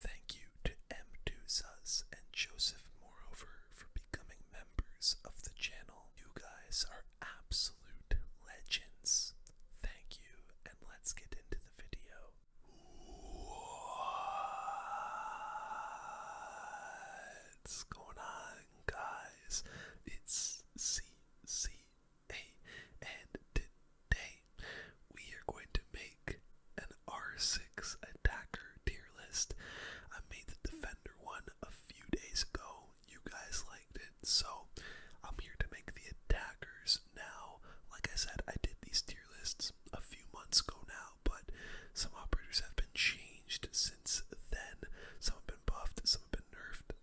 Thank you to M2 Sus and Joseph Moreover for becoming members of the channel. You guys are absolute legends. Thank you, and let's get into the video. What's going on, guys? It's CCA, and today we are going to make an R6 attacker tier list. I made the defender one a few days ago. You guys liked it, so I'm here to make the attackers now. Like I said, I did these tier lists a few months ago now, but some operators have been changed since then. Some have been buffed, some have been nerfed,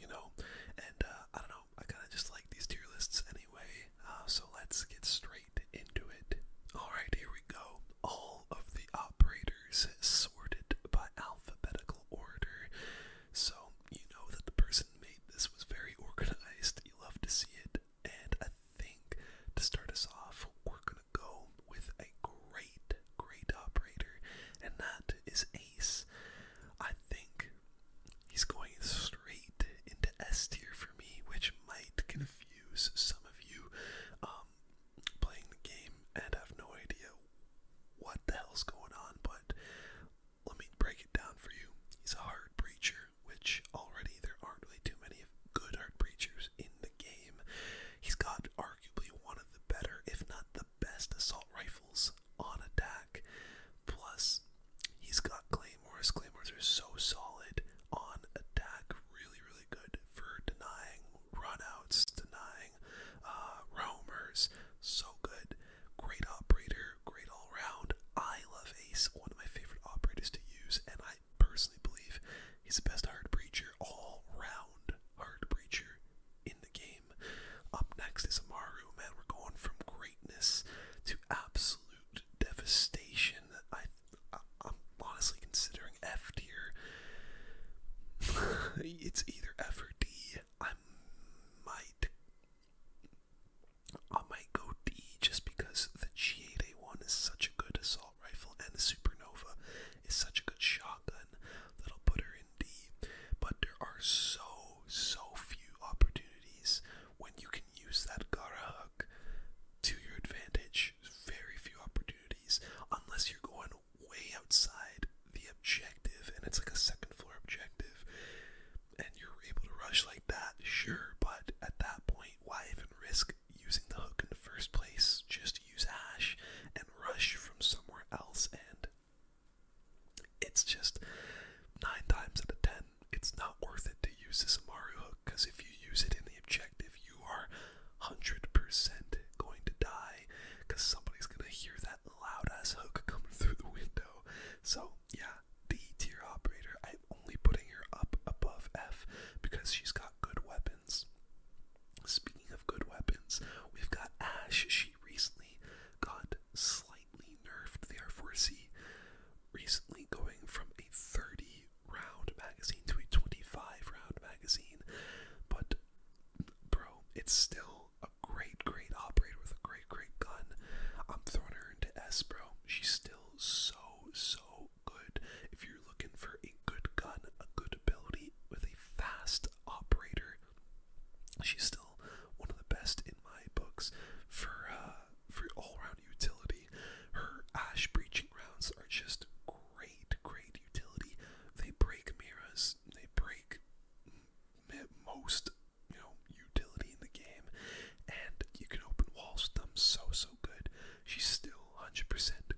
you know, and uh, I don't know, I kind of just like these tier lists anyway. Uh, so let's get straight into it. Alright, here we go. All of the operators sorted by alphabetical order. So you know that the person who made this was very organized. You love to see it. And I think to start us off, we're gonna go with a great, great operator, and that is Ace. I think he's going into S tier for me, which might confuse some of you um, playing the game and have no idea what the hell's going on, but let me break it down for you. He's a hard preacher, which already there aren't really too many good hard preachers in the game. He's got arguably one of the better, if not the best, assault rifles on attack. Plus, he's got claim Morris Claymores are so solid on attack, really, really good for denying runouts, denying uh, roamers. So good. Great operator, great all round. I love Ace, one of my favorite operators to use, and I personally believe he's the best hard breacher, all round hard breacher in the game. Up next is Amaru, man. We're going from greatness to absolute devastation that I, am honestly considering F tier. it's either F or D. I might I might go D just because the G8A1 is such a good assault rifle and the Supernova is such a good shotgun that'll put her in D. But there are so so few opportunities when you can use that Garahug to your advantage. Very few opportunities, unless you're going way outside the objective and it's like a second floor objective and you're able to rush like that, sure, but at that point, why even risk using the hook in the first place? Just use Ash and rush from somewhere else and it's just nine times out of ten it's not worth it to use this Amaru hook because if you use it in the objective, you are 100% going to die because somebody's going to hear that loud ass hook coming through the window. So, yeah, D tier operator. I'm only putting her up above F because she's got good weapons. Speaking of good weapons, we've got Ash. She recently got slightly nerfed the R4C, recently going from a 30 round magazine to a 25 round magazine. But, bro, it's still a great, great operator with a great, great gun. I'm throwing her into S, bro. She's still so, so good. If you're looking for a good gun, a good ability with a fast operator, she's still one of the best in my books for uh, for all-round utility. Her ash breaching rounds are just great, great utility. They break mirrors, they break most, you know, utility in the game, and you can open walls with them so, so good. She's still 100%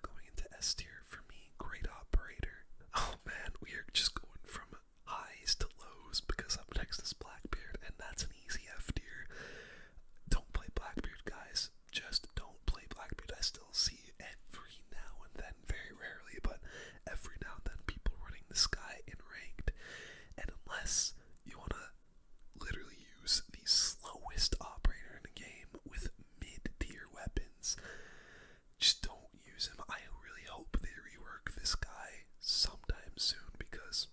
going into S tier for me. Great operator. Oh man, we are just going from highs to lows because I'm Texas Blackbeard, and that's an easy F tier. Don't play Blackbeard, guys. Just don't play Blackbeard. I still see every now and then, very rarely, but every now and then people running the sky in ranked. And unless you want to literally use the slowest operator in the game with mid tier weapons, just don't use him. I really hope they rework this guy sometime soon because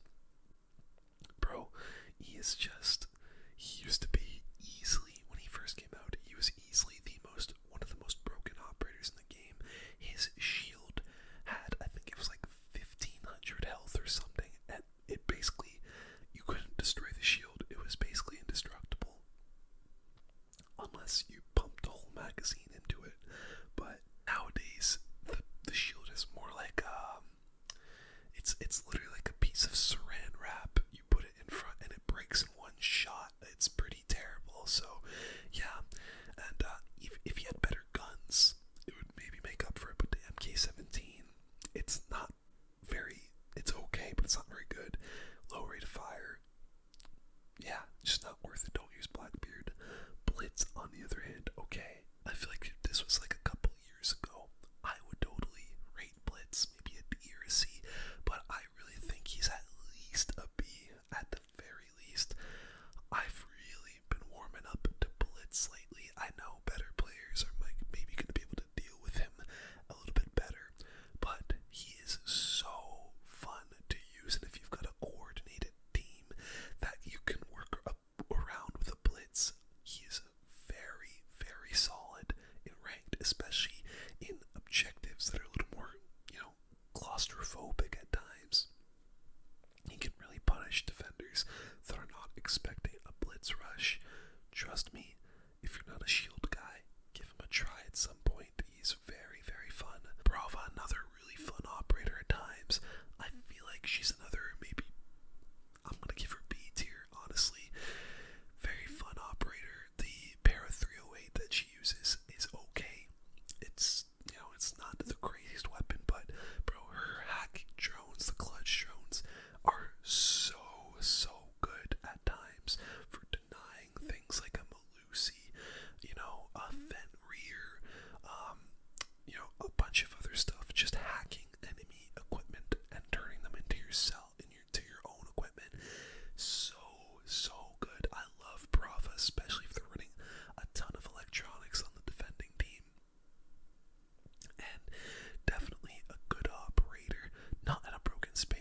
Bro, he is just. He used to be easily, when he first came out, he was easily the most. One of the most broken operators in the game. His shield had, I think it was like 1500 health or something, and it basically. You couldn't destroy the shield, it was basically indestructible. Unless you pumped a whole magazine into it. But nowadays, the, shield is more like um, um, it's it's literally like a piece of saran wrap. You put it in front and it breaks in one shot. It's pretty terrible. So, yeah, and uh, if if you had better guns, it would maybe make up for it. But the MK17, it's not very. It's okay, but it's not very good. Low rate of fire. Yeah, just not worth it. Don't use Blackbeard. Blitz, on the other hand, okay. I feel like this was like a couple years ago, I would totally rate Blitz maybe a or a C, but I really think he's at least a B at the very least. I've really been warming up to Blitz lately. I know better players are like maybe going to be able to deal with him a little bit better, but he is so fun to use, and if you've got a coordinated team that you can work up around with a blitz. He is very, very solid in ranked, especially in objectives that are a little more, you know, claustrophobic at times. He can really punish defenders that are not expecting a blitz rush. Trust me, if you're not a shield guy, give him a try at some point. He's very, very fun. Brava, another really fun operator at times. I feel like she's another maybe I'm gonna give her B tier, honestly. Very fun operator. The para 308 that she uses is okay. It's you know it's not the craziest weapon, but bro, her hacking drones, the clutch drones, are so so good at times for denying things like a Malusi, you know, a vent um, you know, a bunch of other stuff, just hacking enemy equipment and turning them into your cell in your own equipment. So so good. I love Brava, especially if they're running a ton of electronics on the defending team. And definitely a good operator, not in a broken state.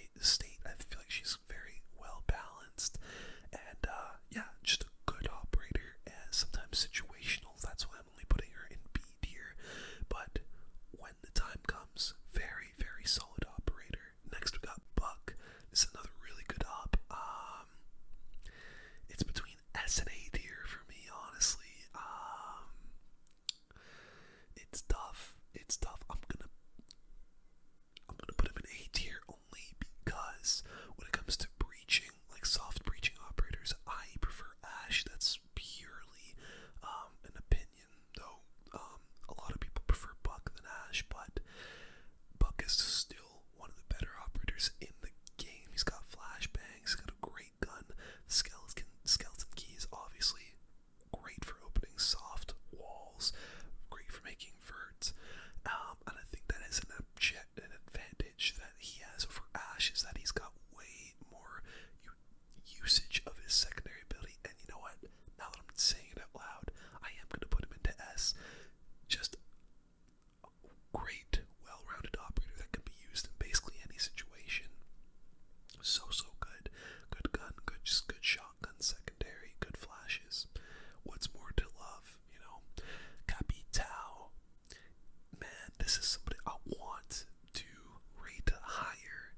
I feel like she's very well balanced, and uh, yeah, just a good operator. And sometimes situational. That's what only putting her in B tier, but when the time comes, very, very solid operator. Next, we got Buck. This is another really good op. Um, it's between S and A tier for me, honestly. Um, it's tough. It's tough. I'm gonna, I'm gonna put him in A tier only because when it comes to breaching, like soft breaching operators. I prefer Ash. That's purely um, an opinion, though. Um, a lot of people prefer Buck than Ash, but Buck is still one of the better operators in the game. He's got flashbangs. He's got a great gun. Skeleton, skeleton key is obviously great for opening soft walls. Great for making verts. Um, and I think that is an objective an advantage that he has over Ash is that he's got way more usage of his secondary ability. And you know what? Now that I'm saying it out loud, I am going to put him into S. Just a great, well rounded operator that can be used in basically any situation. So, so good. Good gun, good, good shotgun, secondary, good flashes. What's more to love, you know? Capitao, man, this is somebody I want to rate higher,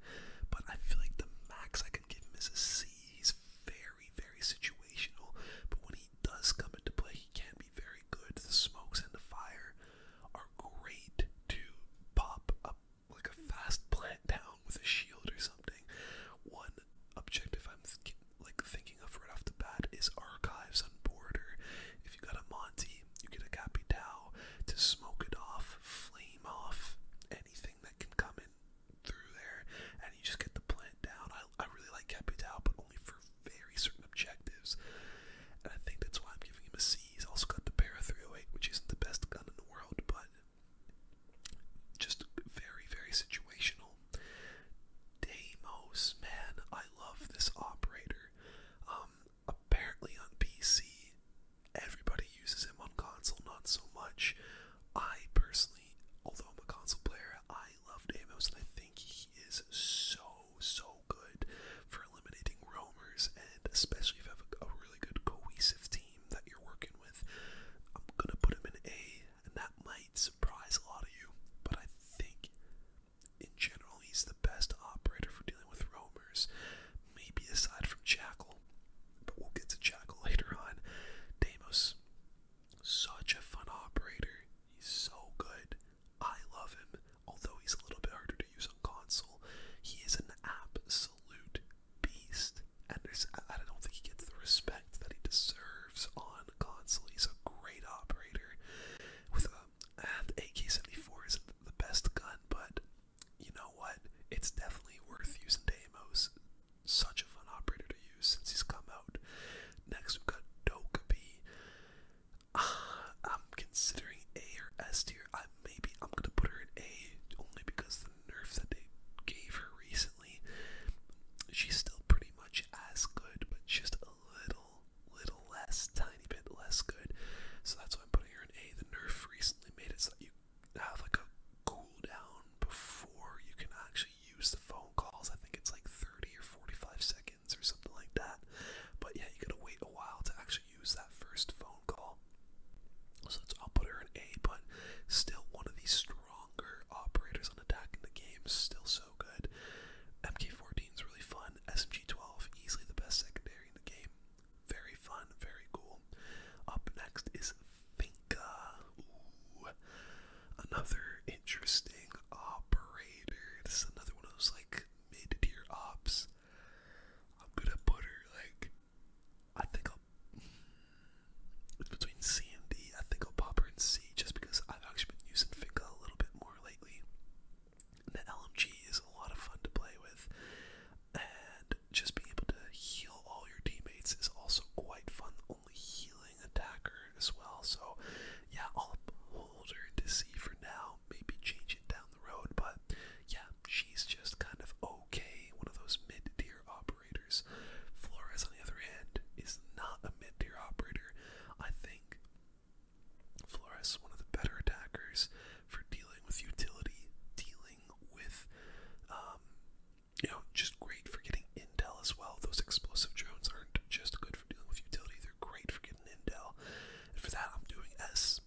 but I feel like the max I can give him is a C. He's very, very situational, but when he does come into play, he can be very good. The smokes and the fire are great to pop up like a fast plant down with a shield or something. One objective I'm like thinking of right off the bat is archives on border. If you got a Monty you get a copy to smoke it off, flame off anything that can come in through there, and you just get the plant down. I, I really like Capital, but only for very certain objectives, and I think that's why I'm giving him a C. He's also got the Para 308, which isn't the best gun in the world, but just very, very situational. Deimos, man, I love this operator. Um, apparently on PC, everybody uses him on console, not so much. I personally, although I'm a console player, I love Amos, and I think he is so, so good for eliminating roamers, and especially if you have a, a really good cohesive team that you're working with. I'm gonna put him in A, and that might surprise a lot of you, but I think in general, he's the best operator for dealing with roamers, maybe aside from Jackal, but we'll get to Jackal later on. Deimos, such a fun operator. He's so good. I love him, although he's a little bit harder to use on console. He is an absolute beast, and I don't think he gets the respect that he deserves on console. He's a great operator with a um, and AK-74 isn't the best gun, but you know what? It's definitely worth using Deimos. Such a fun operator to use since he's come out. Next, we've got Dokubi. Uh, I'm considering A or S tier. I maybe I'm gonna put her in A only because the nerf that they gave her recently. She's still pretty much as good, but just little, little less, tiny bit less good. So that's why I'm putting her in A. The Nerf recently made it so that you have like a cooldown before you can actually use the phone calls. I think it's like 30 or 45 seconds or something like that. But yeah, you gotta wait a while to actually use that first phone call. So I'll put her in A, but still one of the stronger operators on attack in the game. Still so good. MK14 is really fun fun. SMG12, easily the best secondary in the game. Very fun, very cool. Up next is Finca. Ooh, another interesting operator. This is another one of those like mid-tier ops. I'm gonna put her like I think i it's between C and D. I think I'll pop her in C just because I've actually been using Finca a little bit more lately. The LMG is a lot of fun to play with, and just being able to heal all your teammates is also quite fun. Only healing attacker as well, so yeah, I'll hold her to see for now. Maybe change it down the road, but yeah, she's just kind of okay. One of those mid-tier operators. Flores, on the other hand, is not a mid-tier operator. I think Flores, one of the better attackers for dealing with utility, dealing with, um, you know, just great for getting intel as well. Those explosive drones aren't just good for dealing with utility, they're great for getting intel. And for that, I'm doing S.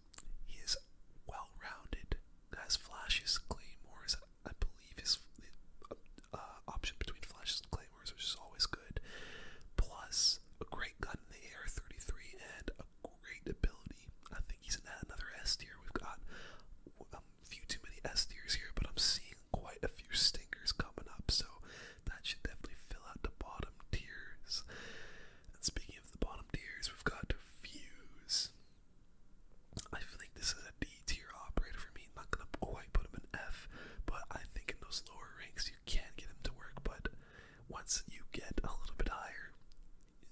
He is well rounded, has flashes, claymores. I believe his uh, option between flashes and claymores, which is always good. Plus, a great gun in the air, 33, and a great ability. I think he's in another S tier. We've got a um, few too many S tiers here, but I'm seeing quite a few stingers coming up, so that should definitely fill out the bottom tiers. And speaking of the bottom tiers, we've got Fuse. I think this is a D tier operator for me. I'm not gonna quite put him in F, but I think in those lower ranks you can get him to work. But once you get a little bit higher,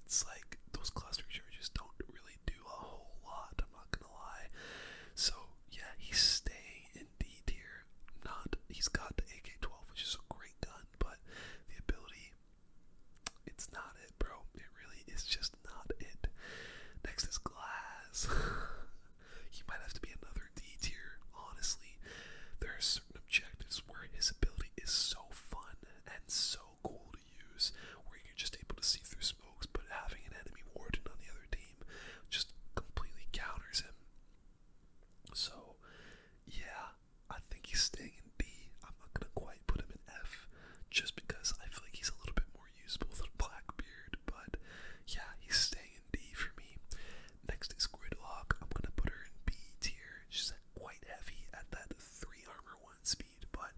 it's like those clusters are just don't really do a whole lot, I'm not gonna lie. So yeah, he's staying in D tier. Not he's got the AK twelve, which is a great gun, but the ability it's not it, bro. It really is just not it. Next is glass. he might have to be another D tier, honestly. There are certain objectives where his ability is so fun and so cool to use, where you're just able to see through smokes, but having an enemy warden on the other team just completely counters him. So, yeah, I think he's staying in B. I'm not gonna quite put him in F, just because I feel like he's a little bit more usable than Blackbeard. But yeah, he's staying in for me. Next is Gridlock. I'm gonna put her in B tier. She's quite heavy at that three armor one speed, but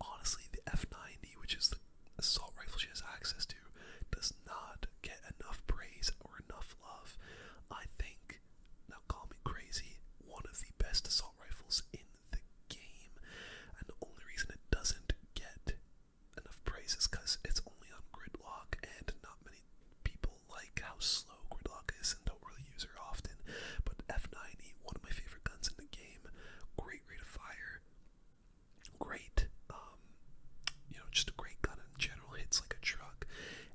honestly, the F90, which is the assault rifle she has access to, does not get enough praise or enough love. I think, now call me crazy, one of the best assault rifles in the game, and the only reason it doesn't get enough praise is because it's only on Gridlock, and not many people people like how slow Gridlock is and don't really use her often. But F90, one of my favorite guns in the game, great rate of fire, great, um, you know, just a great gun in general, hits like a truck.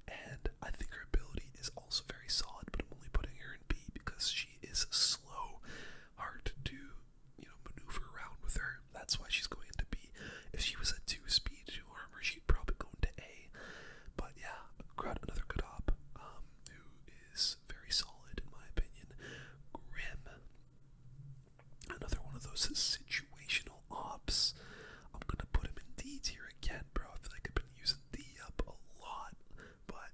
And I think her ability is also very solid, but I'm only putting her in B because she is slow, hard to, you know, maneuver around with her. That's why she's going into B. If she was at two speed, two Farmers, would probably go into A. But yeah, another good op um, who is very solid in my opinion. Grim, another one of those situational ops. I'm gonna put him in D here again, bro. I feel like I've been using D up a lot, but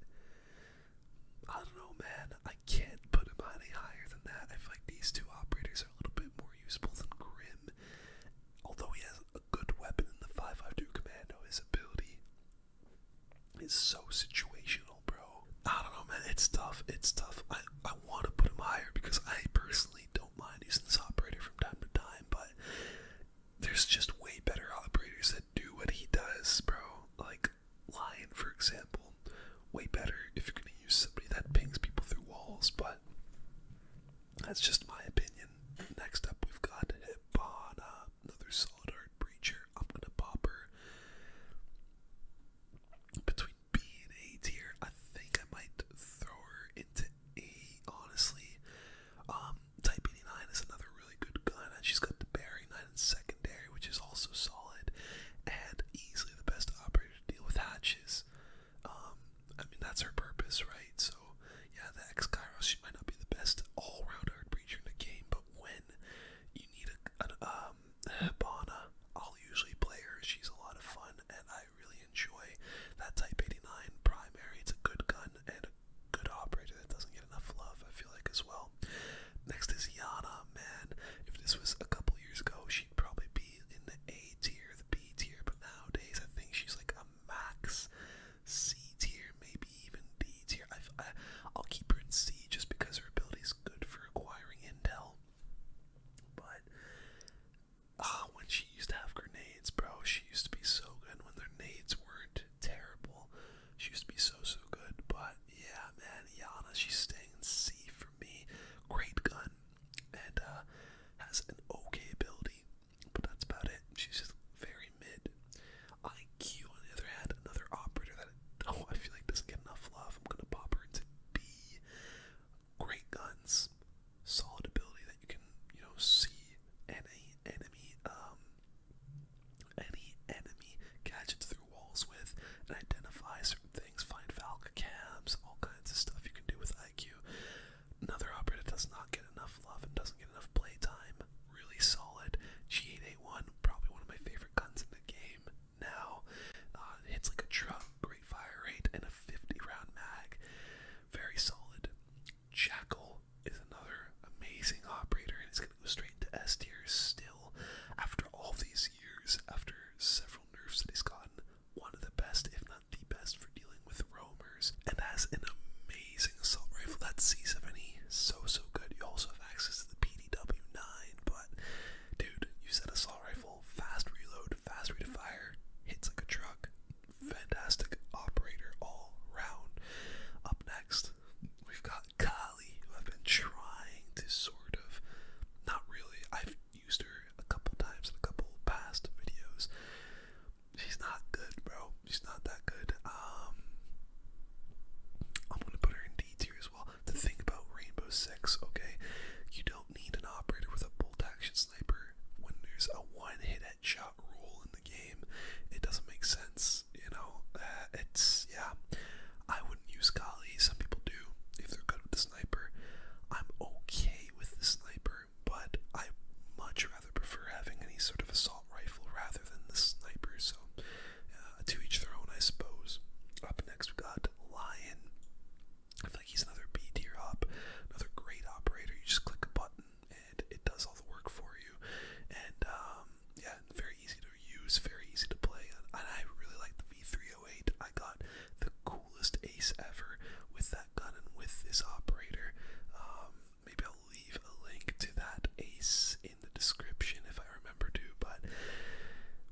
I don't know, man. I can't put him any higher than that. I feel like these two operators are a little bit more usable than Grim although he has a good weapon in the 552 Commando, his ability is so situational, bro. I don't know, man. It's tough. It's tough. I, I want to put him higher because I personally don't mind using this operator from time to time, but there's just way better operators that do what he does, bro. Like Lion, for example. Way better if you're going to use somebody that pings people through walls, but that's just my opinion. Next up, we've got Hibana, another solid art breacher. I'm gonna pop her between B and A tier. I think I might throw her into A, honestly. Um, Type is another really good gun, she's got the bearing 9 and secondary, which is also solid, and easily the best operator to deal with hatches. Um, I mean, that's her purpose, right? So, yeah, the ex Kairos, she might not be the best all round hard breacher in the game, but when you need a, an um, Hibana, I'll usually play her. She's a lot of fun, and I really enjoy that Type 89 primary. It's a good gun and a good operator that doesn't get enough love, I feel like, as well. Next is Yana, man. If this was a couple years ago, she'd probably be be in the A tier, the B tier, but nowadays I think she's like a max C tier, maybe even D tier. I've, I, I'll keep her in C just because her ability is good for acquiring intel. But ah, uh, when she used to have grenades, bro, she used to be so good. When their nades weren't terrible, she used to be so so good. But yeah, man, Yana, she's staying in C for me. Great gun, and uh, has an okay ability. But that's about it. She's just very mid. IQ, on the other hand, another operator that oh, I feel like doesn't get enough love. I'm gonna pop her into B. Great guns, solid ability that you can, you know, see any enemy, um, any enemy gadgets through walls with, and identify certain things. Find Valka cams, all kinds of stuff you can do with like you. Another operator that does not get enough love and doesn't get enough playtime. Really solid. G881, probably one of my favorite guns in the game now. Uh, hits like a truck, great fire rate, and a 50 round mag. Very solid. Jackal is another amazing operator, and it's going to go straight into S tier still. After all these years, after several nerfs that he's gotten, one of the best, if not the best for dealing with roamers and has an amazing assault rifle. That sees 70 so so good. You also have access to the PDW9, but dude, use that assault rifle, fast reload, fast rate of fire, hits like a truck. Fantastic operator all round. Up next, we've got Kali, who I've been trying to sort of not really I've used her a couple times in a couple past videos. She's not good, bro. She's not that good. Um, I'm gonna put her in D tier as well. The thing about Rainbow Six, okay, you don't need an operator with a bolt action sniper when there's a one hit headshot rule in the game. It doesn't make sense, you know. Uh, it's yeah. I wouldn't use Kali. Some people do if they're good with the sniper. I'm okay with the sniper but I much rather prefer having any sort of assault rifle rather than the sniper. So, uh, to each their own, I suppose. Up next, we got Lion. I feel like he's another B tier op, another great operator. You just click a button and it does all the work for you. And um, yeah, very easy to use, very easy to play. And I really like the V308. I got the coolest ace ever with that gun and with this operator. Um, maybe I'll leave a link to that ace in the description if I remember to, but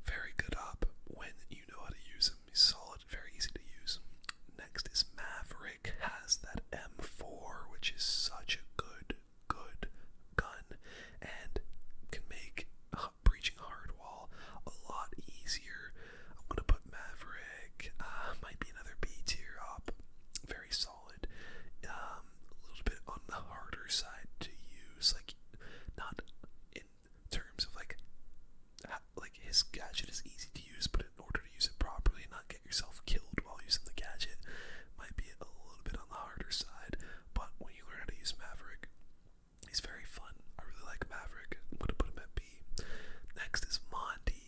very good op when you know how to use him. solid, very easy to use. Next is Maverick, has that M4, which is such a good, good gun, and can make breaching hard wall a lot easier I'm gonna put Maverick. Uh, might be another B tier op. Very solid. Um, a little bit on the harder side to use, like not in terms of like like his gadget is easy to use, but in order to use it properly and not get yourself killed while using the gadget, might be a little bit on the harder side. But when you learn how to use Maverick, he's very fun. I really like Maverick. I'm gonna put him at B. Next is Mondi.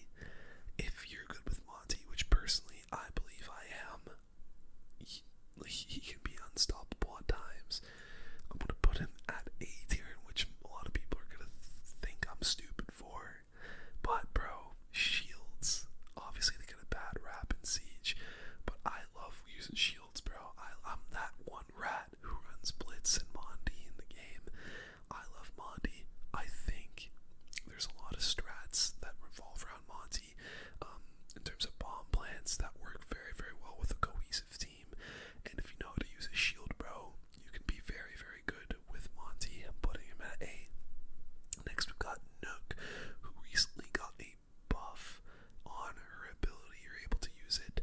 If you're good with Monty, which personally I believe I am, he, he can be unstoppable at times. I'm gonna put him at A tier, which a lot of people are gonna think I'm stupid for. But bro, shields. Obviously they get a bad rap in Siege, but I love using shields, bro. I, I'm that one rat who runs Blitz and Monty in the game, I love Monty. I think there's a lot of strats that revolve around Monty um, in terms of bomb plans that work very, very well with a cohesive team. And if you know how to use a shield, bro, you can be very, very good with Monty. I'm putting him at A. Next, we've got Nook, who recently got a buff on her ability. You're able to use it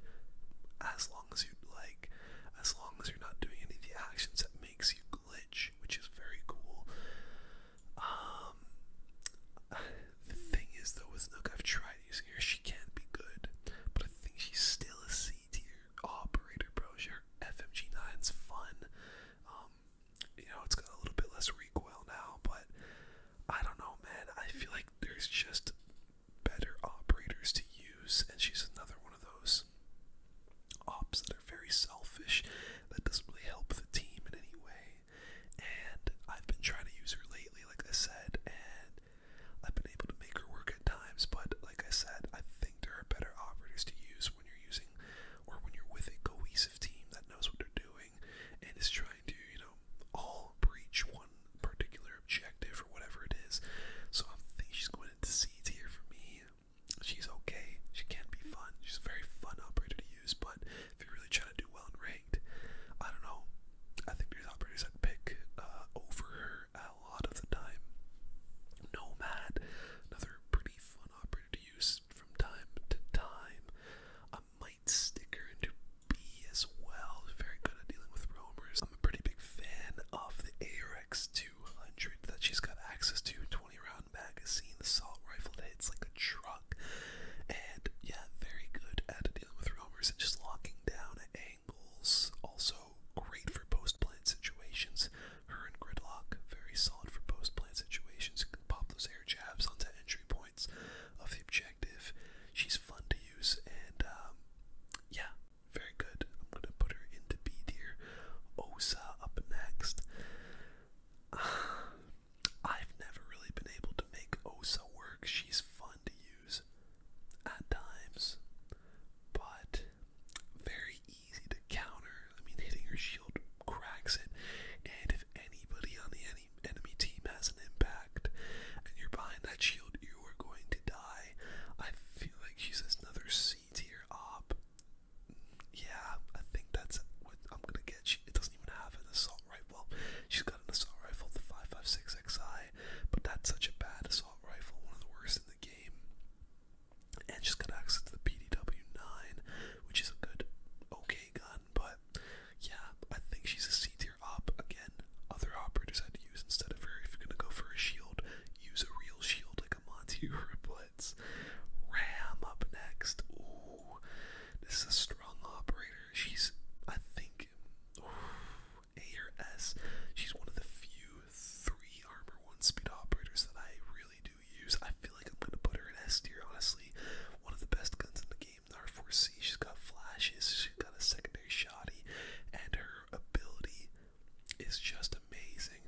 as as you like, as long as you're not doing any of the actions that makes you glitch, which is very cool. Um, the thing is though with Nook, I've tried using her. She can be good, but I think she's still a C tier operator, bro. She, FMG9's fun. Um, you know, it's got a little bit less recoil now, but I don't know, man. I feel like there's just better operators to use, and she's another one of those ops that are very selfish, that doesn't really help the team in any way. And I've been trying to use her lately, like I said, and I've been able to make her work at times, but like I said, I think there are better operators to use when you're using or when you're with a cohesive team that knows what they're doing and is trying to, you know, all breach one particular objective or whatever it is. So I'm thinking she's going doing The seeds here for me. She's okay. She can be fun. She's a very fun operator to use, but if you're really trying to do well and ranked, I don't know. I think there's operators I'd pick uh, over her a lot of the time. Nomad, another pretty fun operator to use from time to time. I might stick her into B as well. Very good at dealing with roamers. I'm a pretty big fan of the arx too. 200 that she's got access to 20 round magazine salt rifle hits like a truck and yeah very good at dealing with roamers and just locking down at angles also great for post plant situations her and gridlock very solid for post plant situations can pop those air jabs onto entry points of the objective she's fun to use and um yeah very good. I'm going to put her into B tier. Osa up next. I've never really been able to make Osa work. She's fun to use at times, but very easy to counter. I mean, hitting her shield cracks it, and if anybody on the enemy enemy team has an impact and you're behind that shield, you are going to die. I feel like she's another C tier op. Yeah, I think that's what I'm gonna get. She, doesn't even have an assault rifle. She's got an assault rifle, the 5.56xi, but that's such a bad assault rifle, one of the worst in the game. And she's got access to the PDW9, which is a good, okay gun, but yeah, I think she's a C tier op. Again, other operators had to use instead of her. If you're gonna go for a shield, Use a real shield like a Monty Riblets. Ram up next. Ooh, this is a strong operator. She's, I think, A or S. She's one of the few three armor one speed operators that I really do use. I feel like I'm gonna put her in S tier. Honestly, one of the best guns in the game. The R4C. She's got flashes. She's got a secondary shotty, and her ability is just amazing.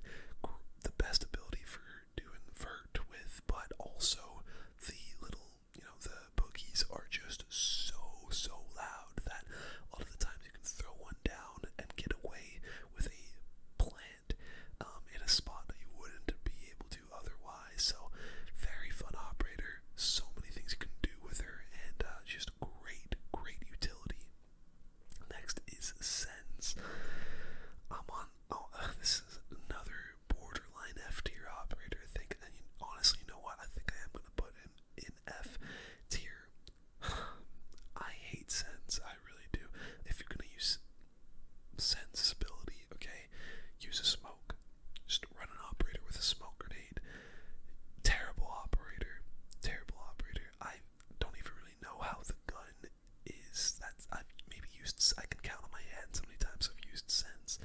The best ability for doing vert with, but also the little, you know, the boogies are just so, so loud that a lot of the times you can throw one down and get away with a plant um, in a spot that you wouldn't be able to otherwise. So, very fun operator. So many things you can do with her, and uh, just great, great utility. Next is sense. I'm on. Oh, this is another borderline F tier operator. I think. honestly, you know what? I think I am gonna put him in F tier. I hate sense. I really do. If you're gonna use sensibility, okay, use a smoke. Just run an operator with a smoke grenade. Terrible operator. Terrible operator. I don't even really know how the gun is. That I've maybe used. I can count on my hands how many times I've used sense.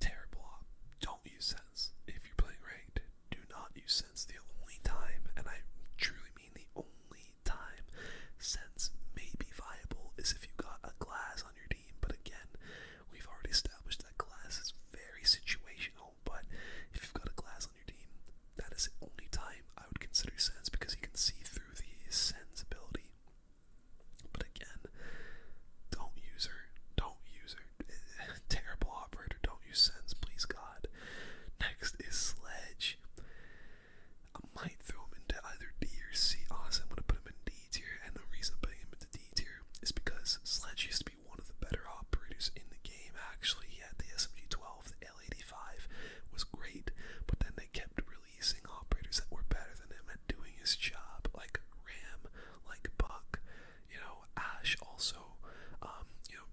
Terrible. Op. Don't use sense if you're playing ranked. Do not use sense. The only time, and I truly mean the only time, sense may be viable is if you got a glass on your team. But again, we've already established that glass is very situational but if you've got a glass on your team, that is the only time I would consider sense because you can see through the Sens ability. But again, don't use her. Don't use her. Terrible operator. Don't use Sens, please God. Next is Sledge. I might throw him into either D or C. Honestly, I'm going to put him in D tier, and the reason I'm putting him into D tier is because Sledge used to be one of the better operators in the game, actually. He had the SMG 12, the L85 was great, but then they kept releasing operators that were better than him at doing his job, like Ram, like Buck, you know, Ash also. Um, you know,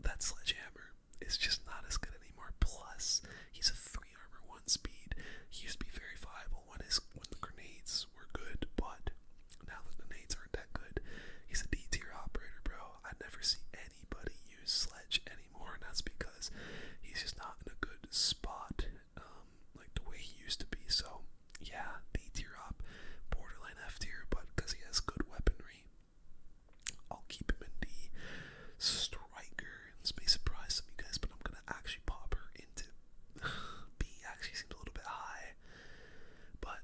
that sledgehammer is just not as good anymore. Plus, he's a three armor, one speed. He used to be very viable when his when the grenades were good, but now that the nades aren't that good, he's a D tier operator, bro. I never see anybody use Sledge anymore, and that's because he's just not in a good spot um, like the way he used to be. So, yeah, D tier up, borderline F tier, but because he has good weaponry, I'll keep him in the striker. This may surprise some of you guys, but I'm gonna actually pop her into B. Actually, seems a little bit high. But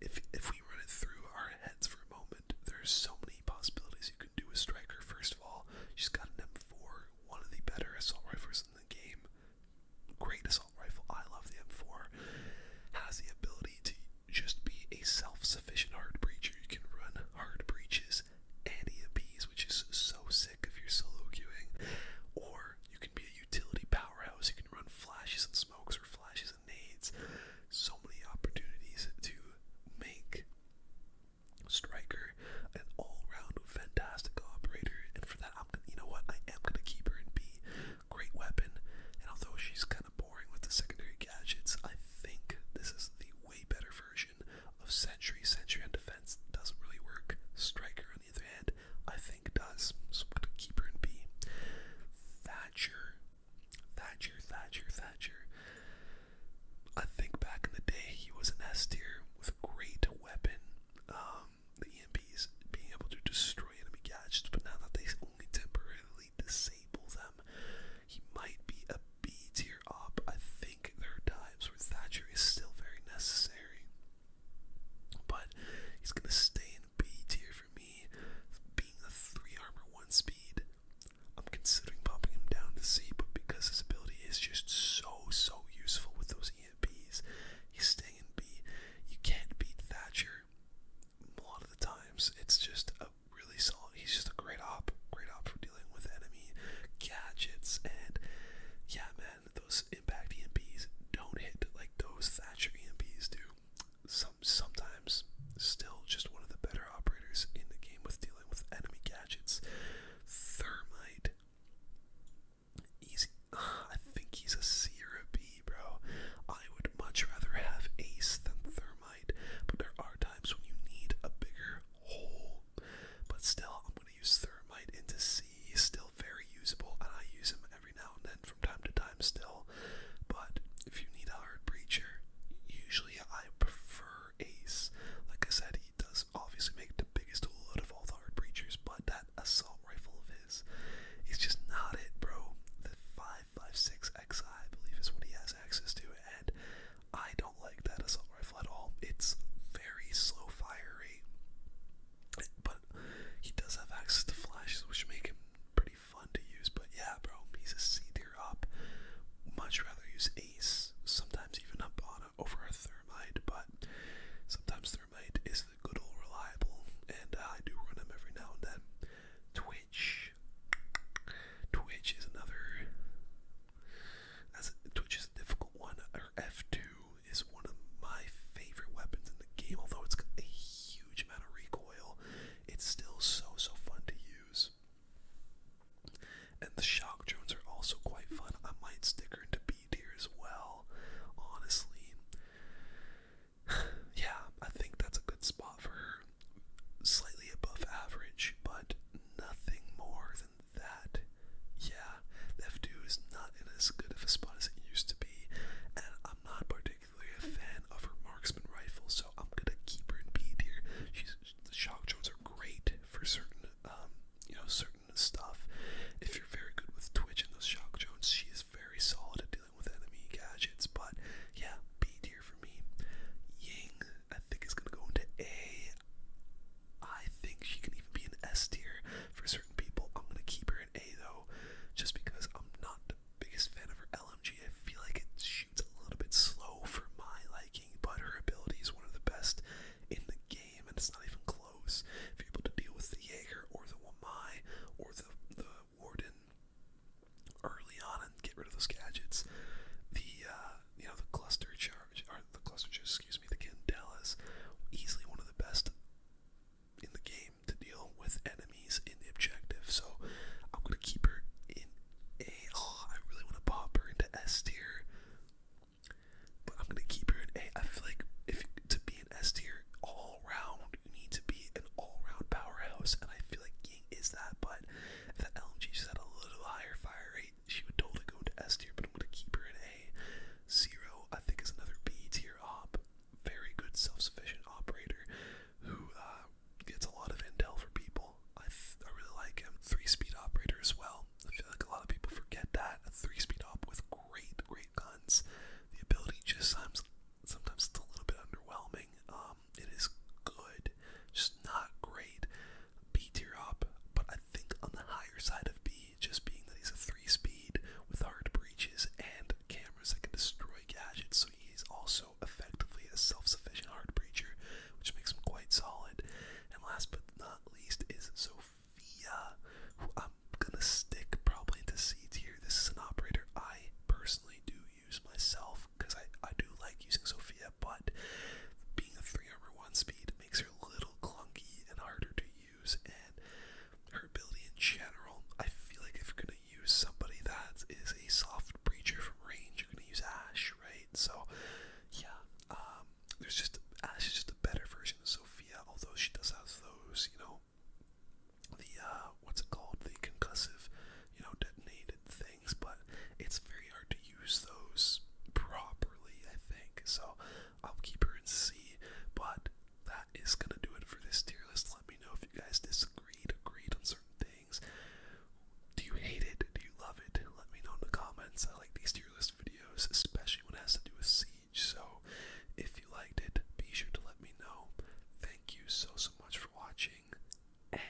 if if we run it through our heads for a moment, there's so many possibilities you can do with striker. First of all, she's got an M4, one of the better assault rifles in the game. Great assault rifle. I love the M4. Has the ability to just be a self-sufficient hard breacher. You can run hard breaches and EMPs, which is so sick if you're solo queuing. Or you can be a utility powerhouse. You can run flashes and smokes or flashes needs. So many opportunities to make Striker an all-round fantastic operator, and for that, I'm gonna, you know what, I am gonna keep her in B. Great weapon, and although she's kind of boring with the secondary gadgets, I think this is the way better version of Century. Century on defense doesn't really work. Striker, on the other hand, I think does. So I'm gonna keep her in B. Thatcher Thatcher, Thatcher, Thatcher. I think back in the day he was an S tier with a great weapon. Um, the EMPs being able to destroy enemy gadgets, but now that they only temporarily disable them, he might be a B tier op. I think there are times where Thatcher is still very necessary, but he's gonna stay in B tier for me, being a 3 armor 1 speed. I'm considering popping him down to C, but because his ability is just so, so useful with those EMPs, he's staying in B. You can't beat Thatcher a lot of the times. It's just a really solid, he's just a great op, great op for dealing with enemy gadgets. And yeah, man, those impact EMPs don't hit like those Thatcher EMPs do sometimes still just one of the better operators in the game with dealing with enemy gadgets. Thermite. Easy. I think he's a C or a B, bro. I would much rather have Ace than Thermite, but there are times when you need a bigger hole. But still, I'm going to use Thermite into C. still very usable, and I use him every now and then from time to time still, but if you need a hard breacher, usually I prefer Ace. Like I said, he does obviously make the biggest hole out of all the hard breachers, but that assault rifle of his is just not it, bro. The 5.56XI, I believe, is what he has access to, and I don't like that assault rifle at all. It's very slow firing, but he does have access to flashes, which make him pretty fun to use, but yeah, bro, he's a C up. Much rather use Ace, sometimes even up on over a Thermite, but sometimes Thermite is the good old reliable, and uh, I do run him every now and then. Twitch, Twitch is another. As Twitch is a difficult one. Or F two is one of my favorite weapons in the game, although it's got a huge huge amount of recoil. It's still so, so fun to use. And the shock drones are also quite fun. I might stick her into B tier as well, honestly. yeah, I think that's a good spot for her. Slightly above average, but nothing more than that. Yeah, F2 is not in as good of a spot as it used to be, and I'm not particularly a fan of her marksman rifle, so I'm gonna keep her in B tier. She's the shock drones are great for certain, um, you know, certain stuff. If you're very good with Twitch and those shock drones, she is very solid at dealing with enemy gadgets. But yeah, B tier for me. Ying, I think is gonna go into A. I think she can even be an S tier for certain people. I'm gonna keep her in A though, just because I'm not biggest fan of her LMG. I feel like it shoots a little bit slow for my liking, but her ability is one of the best in the game, and it's not even close. If you're able to deal with the Jaeger or the Wamai or the, the Warden early on and get rid of those gadgets, the uh, you know the cluster charge or the cluster charge, excuse me, the Candelas, easily one of the best in the game to deal with enemies in the objective. So I'm gonna keep her in A. Oh, really want to pop her into S tier, but I'm gonna keep her in A. I feel like if to be an S tier all round, you need to be an all-round powerhouse, and I feel like Ying is that. But if the LMG just had a little higher fire rate, she would totally go into S tier. But I'm gonna keep her in A. Zero, I think, is another B tier op. Very good self-sufficient operator who uh, gets a lot of intel for people. I, I really like him. Three speed operator as well. I feel like a lot of people forget that. A three speed op with great, great guns. The ability just sometimes, sometimes it's a little bit underwhelming. Um, it is good, just not great. B tier op, but I think on the higher side of B, just being that he's a three speed with hard breaches and cameras that can destroy gadgets, so he's also effectively a self-sufficient hard breacher, which makes him quite solid. And last but not least is Sophia, who I'm gonna stick probably into C tier. This is an operator I personally do use myself because I, I do like using Sophia, but being a three armor one speed makes her a little clunky and harder to use and her ability in general, I feel like if you're gonna use somebody that is a soft breacher from range. You're gonna use Ash, right? So yeah, um, there's just Ash is just a better version of Sophia, although she does have those, you know, the uh, what's it called, the concussive, you know, detonated things. But it's very hard to use those properly, I think. So I'll keep her and see. but that is gonna do it for this tier list. Let me know if you guys disagreed, agreed on certain things. Do you hate it? Do you love it? Let me know in the comments. I like these tier list videos, especially when it has to do with Siege. So if you liked it, be sure to let me know. Thank you so, so much for watching. And